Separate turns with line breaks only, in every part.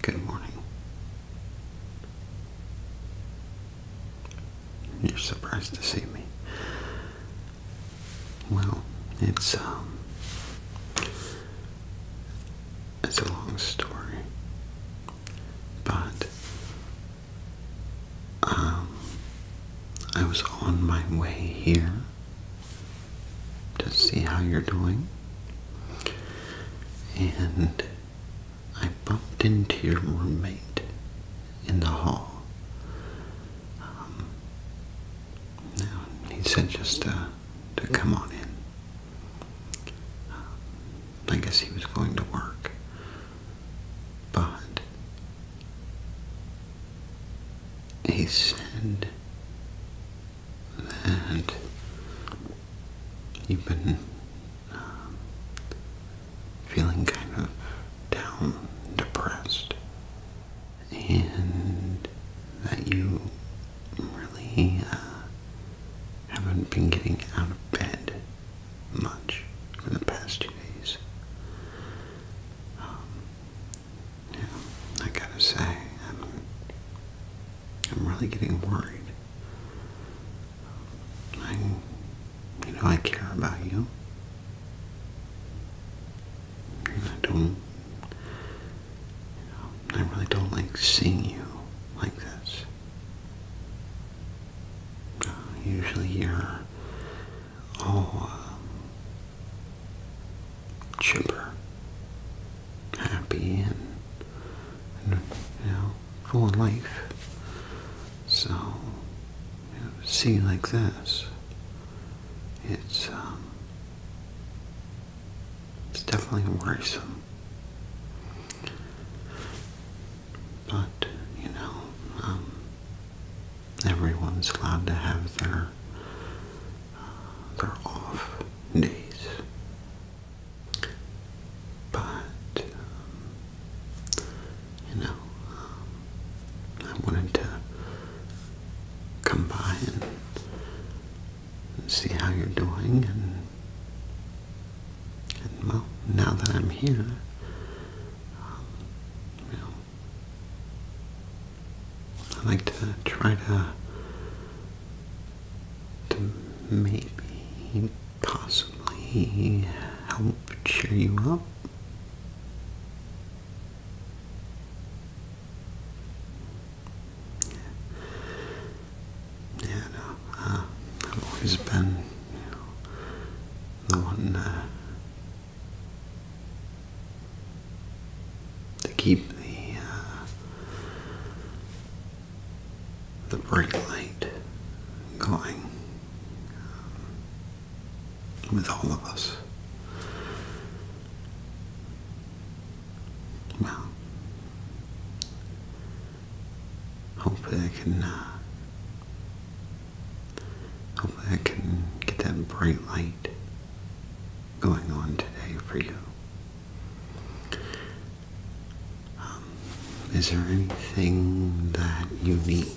Good morning. You're surprised to see me. Well, it's um it's a long story. But um I was on my way here to see how you're doing. And I bumped into your roommate in the hall. Um, he said just to, to come on in. Um, I guess he was going to work. But he said that you've been um, feeling kind of down, depressed, and that you really uh, haven't been getting out of bed much for the past two days. Um, yeah, I gotta say, I'm, I'm really getting worried. I, you know, I care about you. I don't, I really don't like seeing you like this. Uh, usually you're Oh chipper, happy, and, you know, full of life. So, seeing like this, it's um, it's definitely worrisome. But you know, um, everyone's allowed to have their they're off days. But, um, you know, um, I wanted to come by and see how you're doing and well, now that I'm here, um, you know, I like to try to, to maybe possibly help cheer you up. Yeah, uh, I've always been, the one uh, to keep the uh, the brake light going um, with all of us. Well, hopefully I can. Uh, hopefully I can get that bright light going on today for you. Um, is there anything that you need?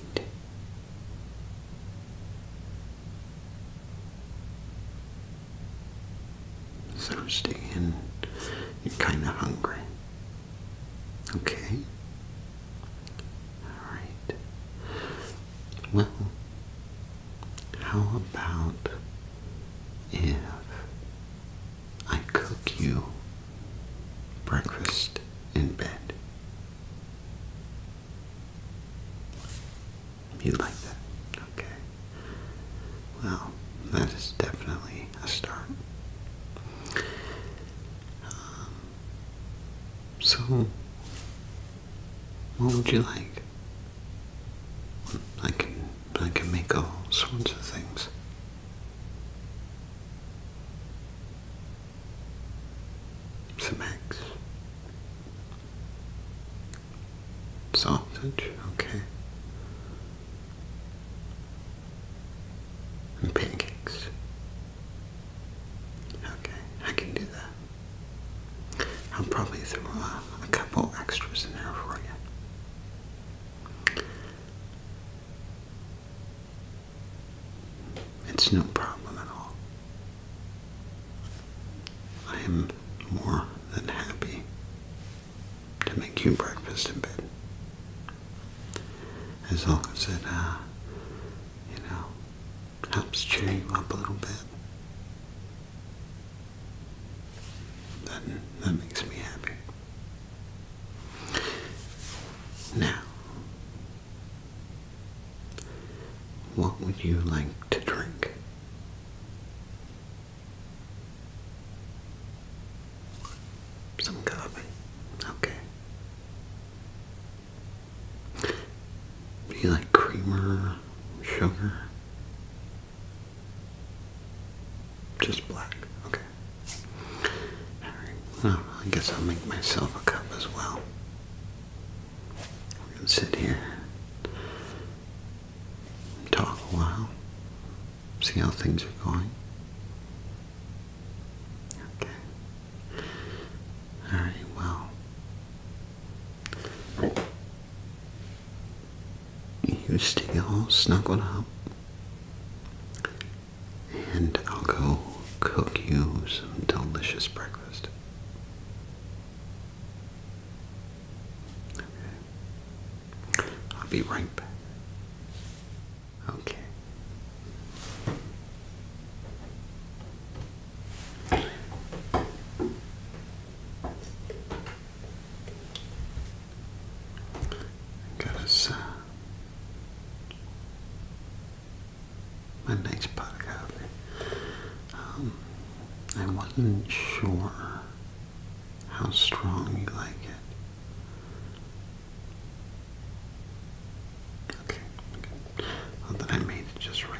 Thirsty and you're kind of hungry. Okay. All right. Well, how about if I cook you breakfast in bed? You like that? Okay. Well, that is definitely a start. Um, so, what would you like? I can but I can make all sorts of things. Some Sausage, okay. And pancakes. Okay, I can do that. I'll probably throw a, couple extras in there for you. It's no problem at all. I am more than happy to make you breakfast in bed. As long as it, uh, you know, helps cheer you up a little bit. That, that makes me happy. Now, what would you like to drink? Some coffee. Okay. you like creamer, sugar? Just black. Okay. Alright. Oh, I guess I'll make myself a cup as well. We're sit here and talk a while. See how things are going. Okay. Alright, well. You stay all snuggled up, and I'll go cook you some delicious breakfast. I'll be right back. Okay. Because uh, my next podcast, um, I wasn't sure how strong you like it. Okay, okay. Well, I made it just right.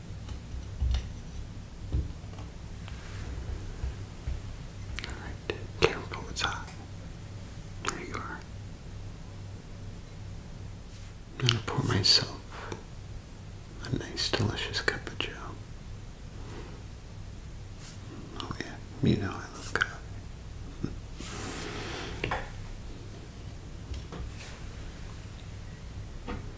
Alright, careful, it's hot. There you are. I'm gonna pour myself a nice, delicious cup of joe. Oh yeah, you know I love coffee.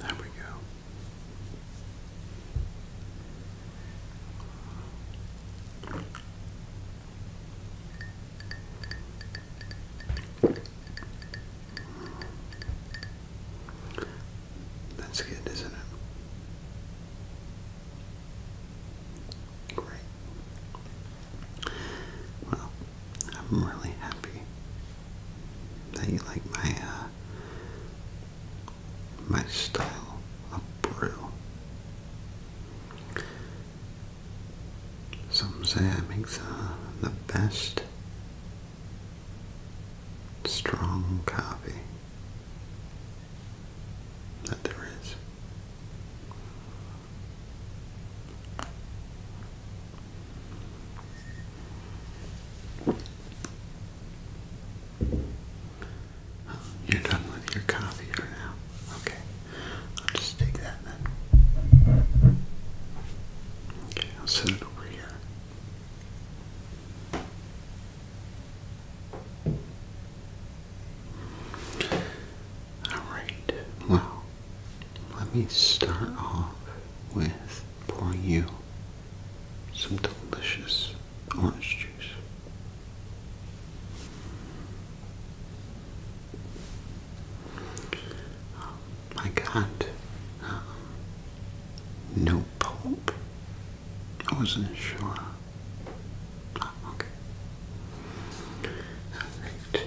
There we go. That's good, isn't it? Great. Well, I'm really happy that you like my uh, my style of brew. Some say I make the, the best strong coffee that there is. You're done with your coffee for now. Okay. I'll just take that then. Okay, I'll set it over here. Alright, wow, let me start off with pouring you some delicious orange juice. Um, I got uh, no pulp. I wasn't sure. Ah, okay. All right.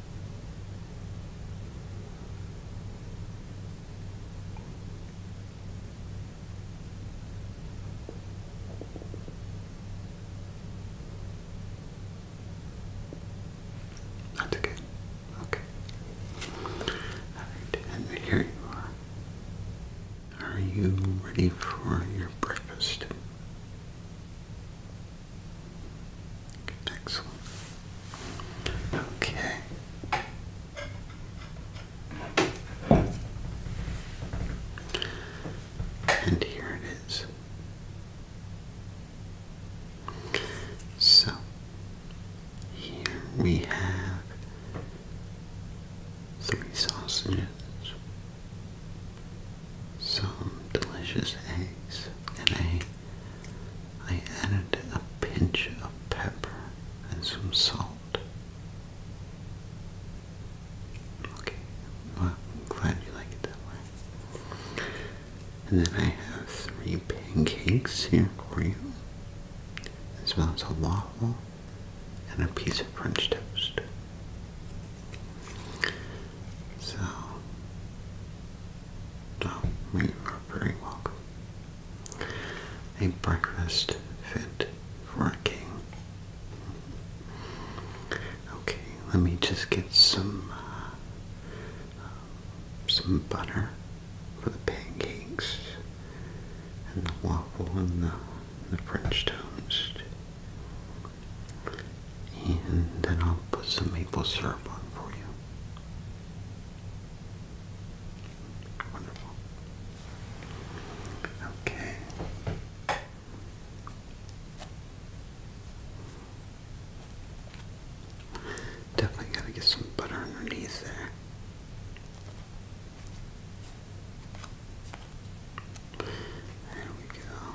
That's okay. Okay. Alright, and here you are. Are you ready for your breakfast? Excellent. Okay. And here it is. So, here we have three sausages, some delicious eggs, and a I added a pinch of pepper and some salt. Okay, well, glad you like it that way. And then I have three pancakes here for you, as well as a waffle and a piece of French toast. So, Tom, you are very welcome. A breakfast fit for a king. Okay, let me just get some uh, um, some butter for the pancakes and the waffle and the, the French toast and then I'll put some maple syrup on for you. Wonderful. Okay. Definitely gotta get some butter underneath there. There we go.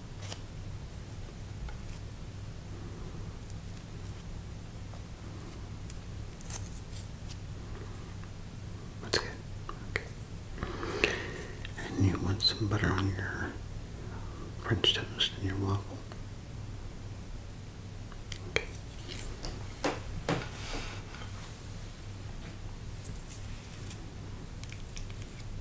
That's good. Okay. And you want some butter on your French toast and your waffle. Okay.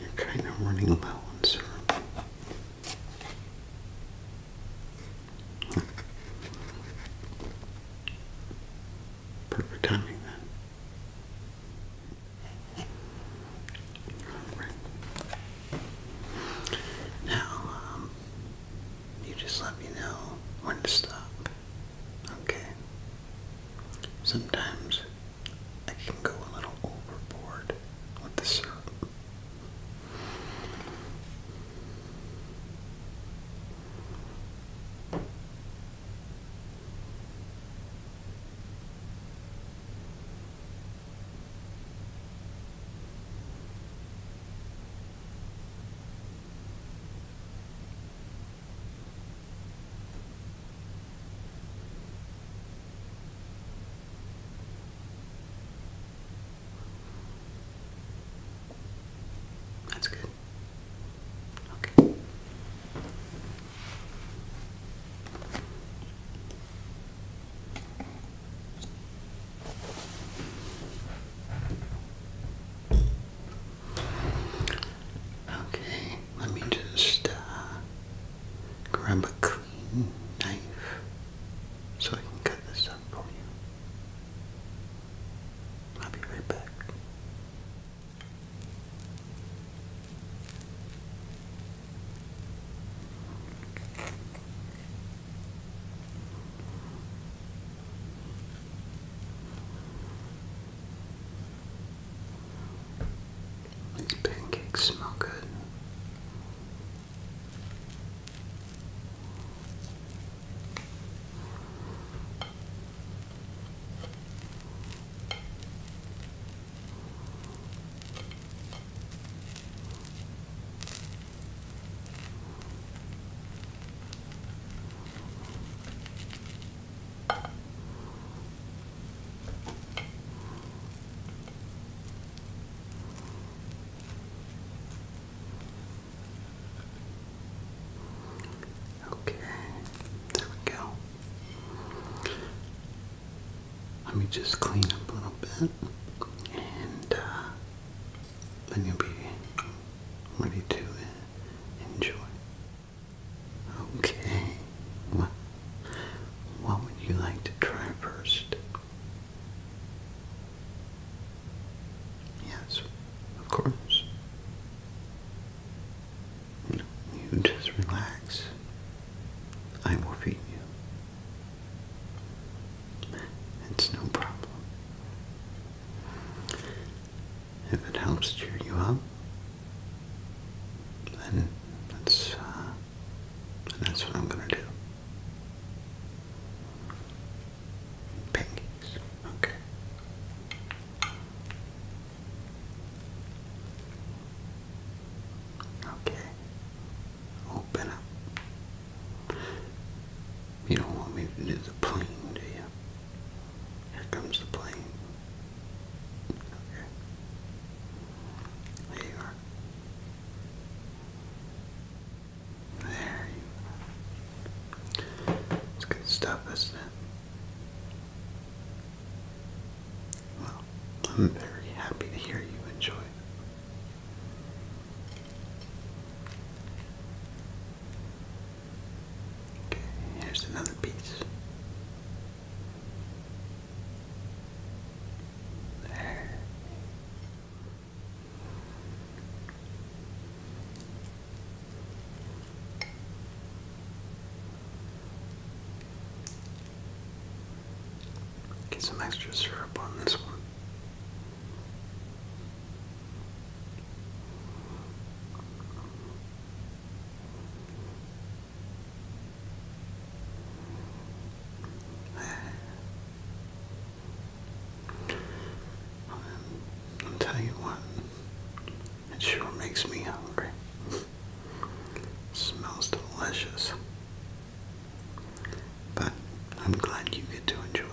you're kind of running low on serum. Perfect timing now, um, you just let me know when to stop. Okay. Sometimes I can go a little overboard with the syrup. That's good. Okay. Okay, let me just uh, grab a clean knife so I can cut this up for you. I'll be right back. These pancakes smell good. Okay, there go. Let me just clean up a little bit and uh, then you'll be ready to enjoy. Okay, well, what would you like to try first? Yes, of course. You just relax. I will feed you. It's no problem. If it helps cheer you up, then that's, uh, that's what I'm going to do. Pinkies. Okay. Okay. Open oh, up. You don't want me to do the plane, do you? Here comes the plane. Okay. There you are. There you are. It's good stuff, isn't it? Well, I'm very happy to hear you enjoy it. Okay, here's another piece. There. Get some extra syrup on this one. i am telling you what, it sure makes me hungry. smells delicious. But I'm glad you get to enjoy it.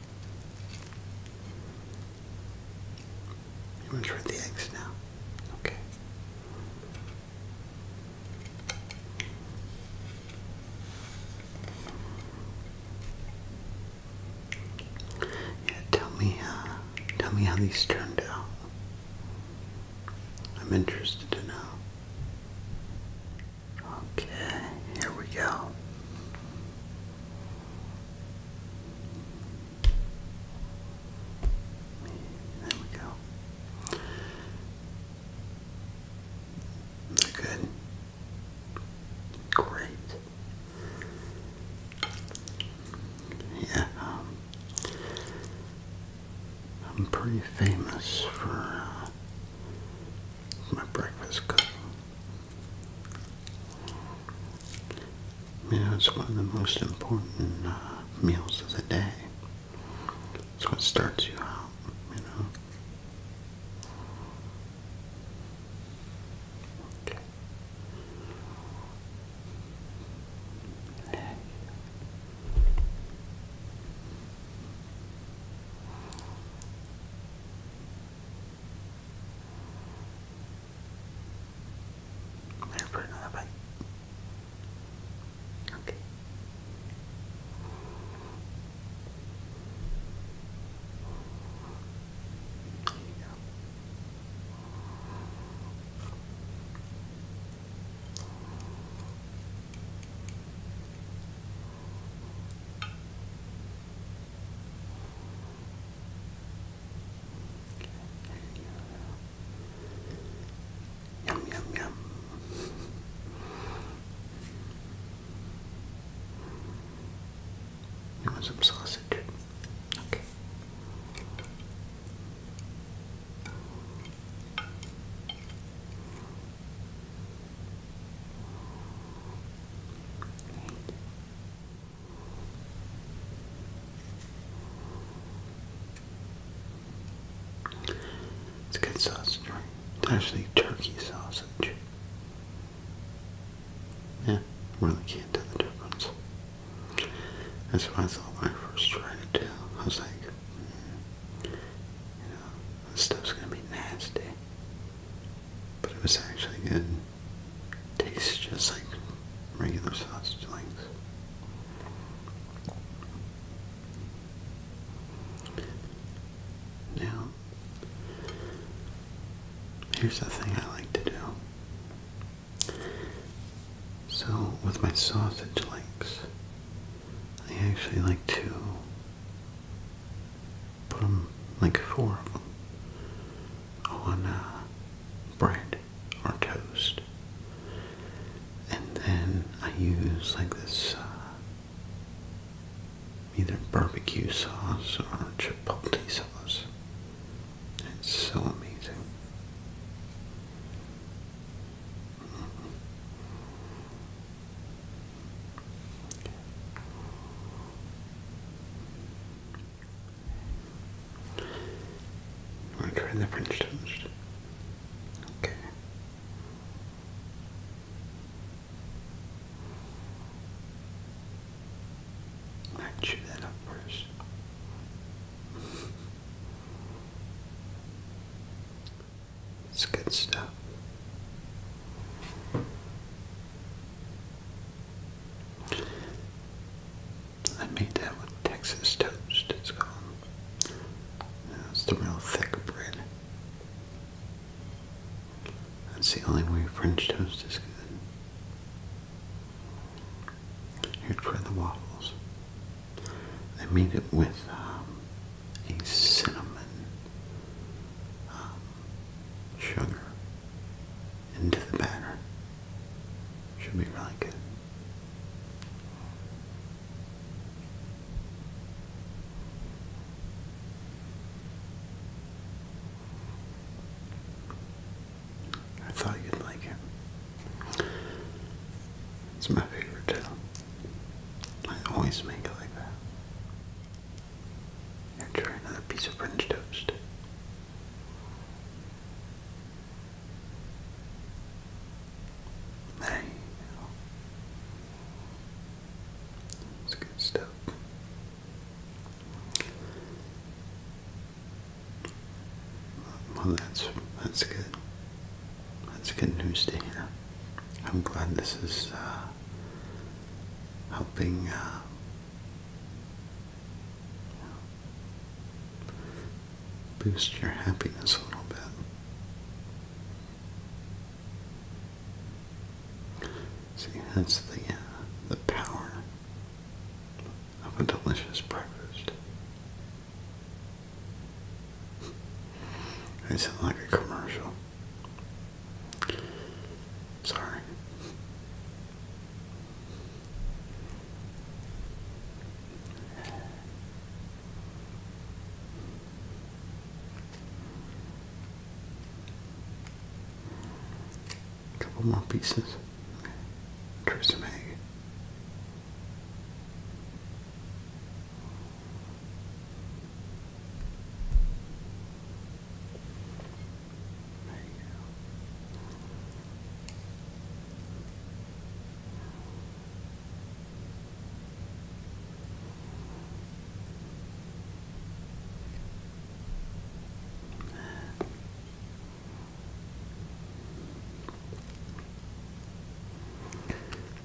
You want to try the eggs now? Okay. Yeah, tell me, uh, tell me how these turned out. I'm interested to know. Okay, here we go. There we go. Good. Great. Yeah, um, I'm pretty famous for uh, my breakfast cooking. You know, it's one of the most important uh, meals of the day. It's what starts you out, you know. Okay. I'm put another one. Okay. you Yum, yum, yum. some sausage? Okay. Great. It's a good sausage, It's actually turkey sausage. Yeah, really can't tell the difference. That's what I thought my first tried I was like, mm, you know, this stuff's gonna be nasty but it was actually good. Tastes just like regular sausage links. Now, here's the thing I like to do. So, with my sausage links, I actually like to put them like four of them on uh, bread or toast, and then I use like this uh, either barbecue sauce or chipotle sauce. It's so amazing. I'll try the French toast. Okay. i chew that up first. It's good stuff. I made that with Texas toast, it's called. It's the real thick bread. That's the only way French toast is good. Here, try the waffles. I made it with um, a cinnamon um, sugar into the batter. Should be really good. I thought you'd like it. It's my favorite too. I always make it like that and try another piece of French toast. There you good stuff. Well, that's that's good. That's good news to hear. I'm glad this is uh, helping uh, Boost your happiness a little bit. See, that's the uh, the power of a delicious breakfast. I sound like a commercial. Sorry. couple more pieces. Tristan Egg. There you go.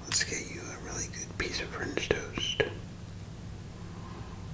Let's get you a really good piece of French toast.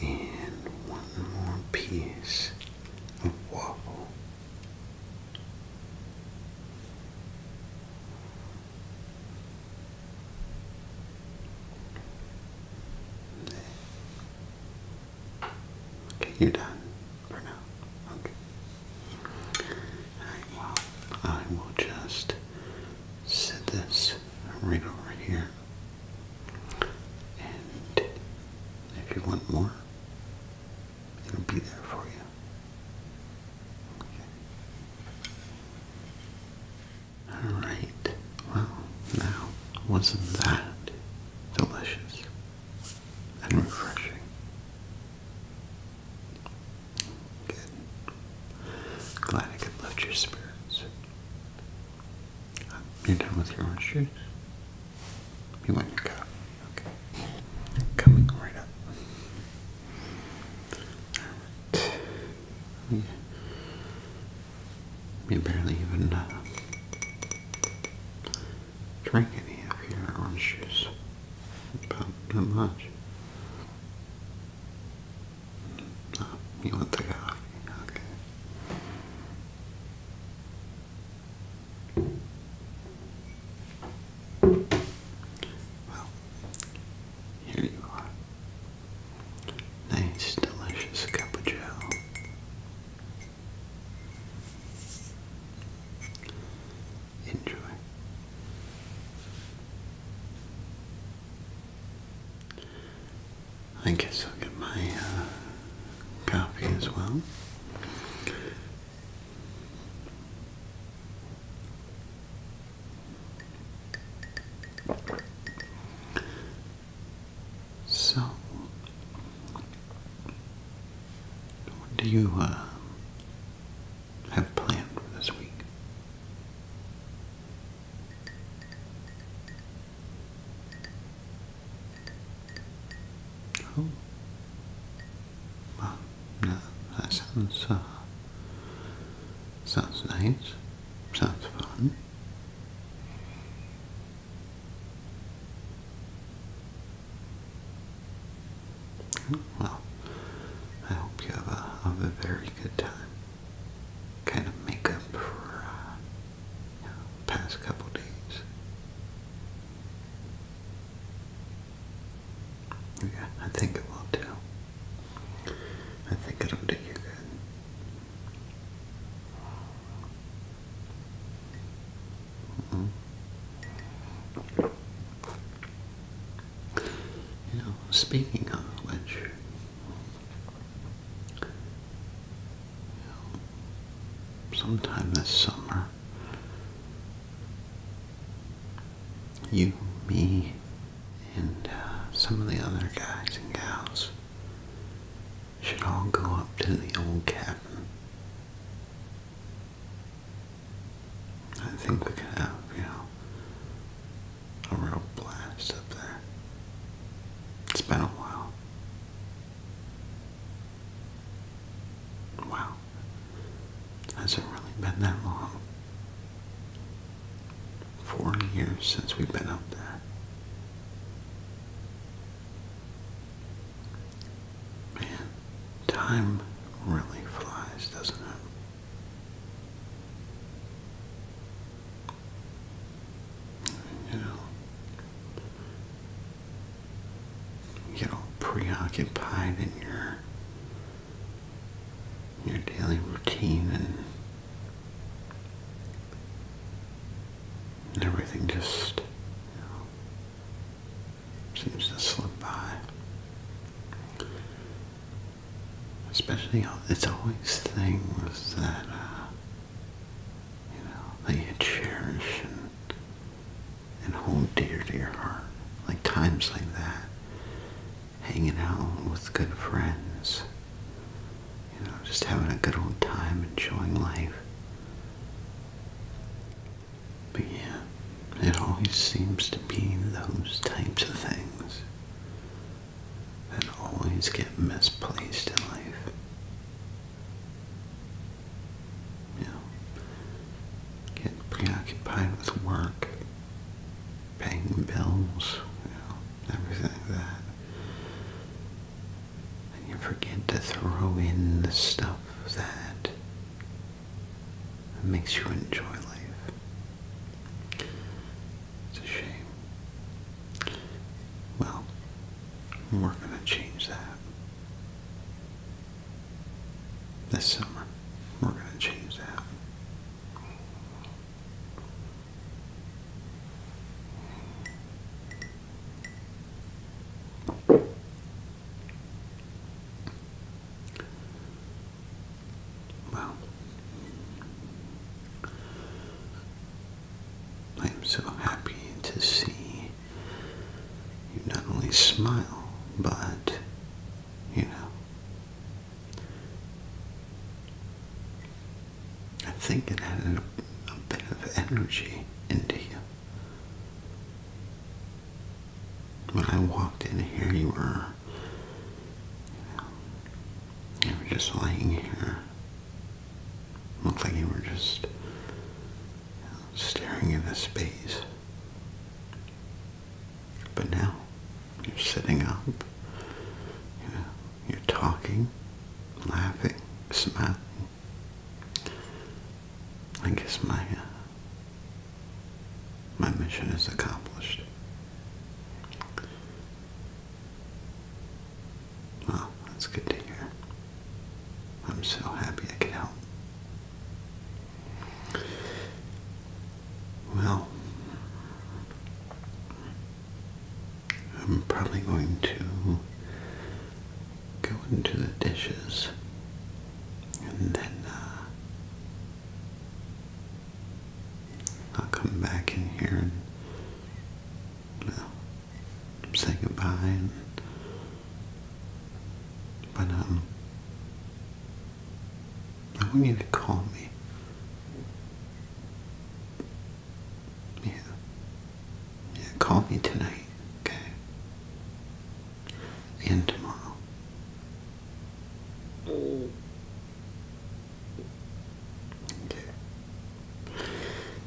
and one more piece of waffle. Okay, you're done for now. Okay. I will just set this right over here. And if you want more, it'll be there for you. Alright, well, now, wasn't that delicious and refreshing? Good. Glad I could lift your spirits. You're done with your orange juice? You want your cup? Okay. Coming right up. I We, barely even uh, drank any of your orange juice. About that much. Uh, you want the coffee? Okay. Well, here you are. Nice, delicious cup of joe. Enjoy. I guess I'll get my uh, copy as well. So, what do you uh, have planned for this week? Oh. Well, no, that sounds, uh, sounds nice. Sounds fun. Well, I hope you have a, very good time. Kind of make up for uh, past couple days. Yeah, I think it will too. I think it'll do you good. Mm-hmm. You know, speaking of which, sometime this summer, you, me, and uh, some of the other guys and gals should all go up to the old cabin. I think we could have, you know, a real blast up there. It's been a while. Wow. Has it really been that long? Four years since we've been up there. Man, time really flies, doesn't it? You know, you get all preoccupied in your your daily routine and everything just you know, seems to slip by. Especially, it's always things that uh, you know, that you cherish and, and hold dear to your heart. Like times like that, hanging out with good friends, you know, just having a good old time, enjoying life. But yeah, it always seems to be those types of things that always get misplaced in life you know, get preoccupied with work, paying bills, you know, everything like that. And you forget to throw in the stuff that makes you enjoy life. It's a shame. Well, we're going to change that. This summer, we're going to change that. Well, I am so happy to see you not only smile, but, you know, I think it added a, bit of energy into you. When I walked in here, you were, you were just lying here. Looked like you were just staring into space. But now, you're sitting up, you are talking, laughing, smiling. I guess my, uh, my mission is accomplished. Well, that's good to hear. I'm so happy I could help. Well, I'm probably going to go into the dishes and then uh, I'll come back in here and well, say goodbye. And, but um, I want you to call me. Yeah, yeah. Call me tonight, okay? And tomorrow. Mm. Okay.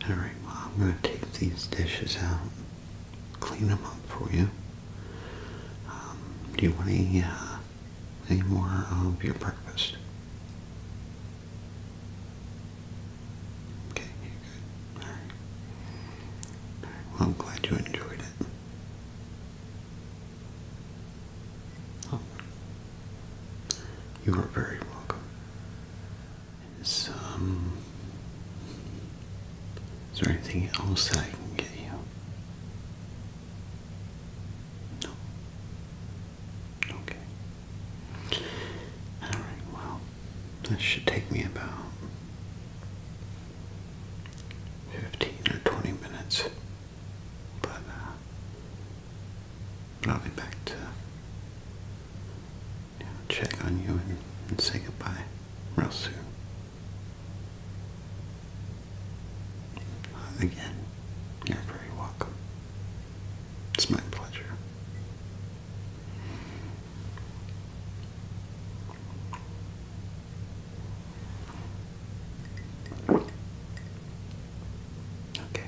Alright, well, I'm going to take these dishes out, clean them up for you. Um, do you want uh, any, more of your breakfast? Okay, well, I'm glad you enjoyed it. Oh. You are very welcome is, there anything else that I can get you? No. Okay. Alright, well, this should take me about 15 or 20 minutes. But, uh, but I'll be back to you know, check on you and, and say goodbye real soon. Again, you're very welcome. It's my pleasure. Okay.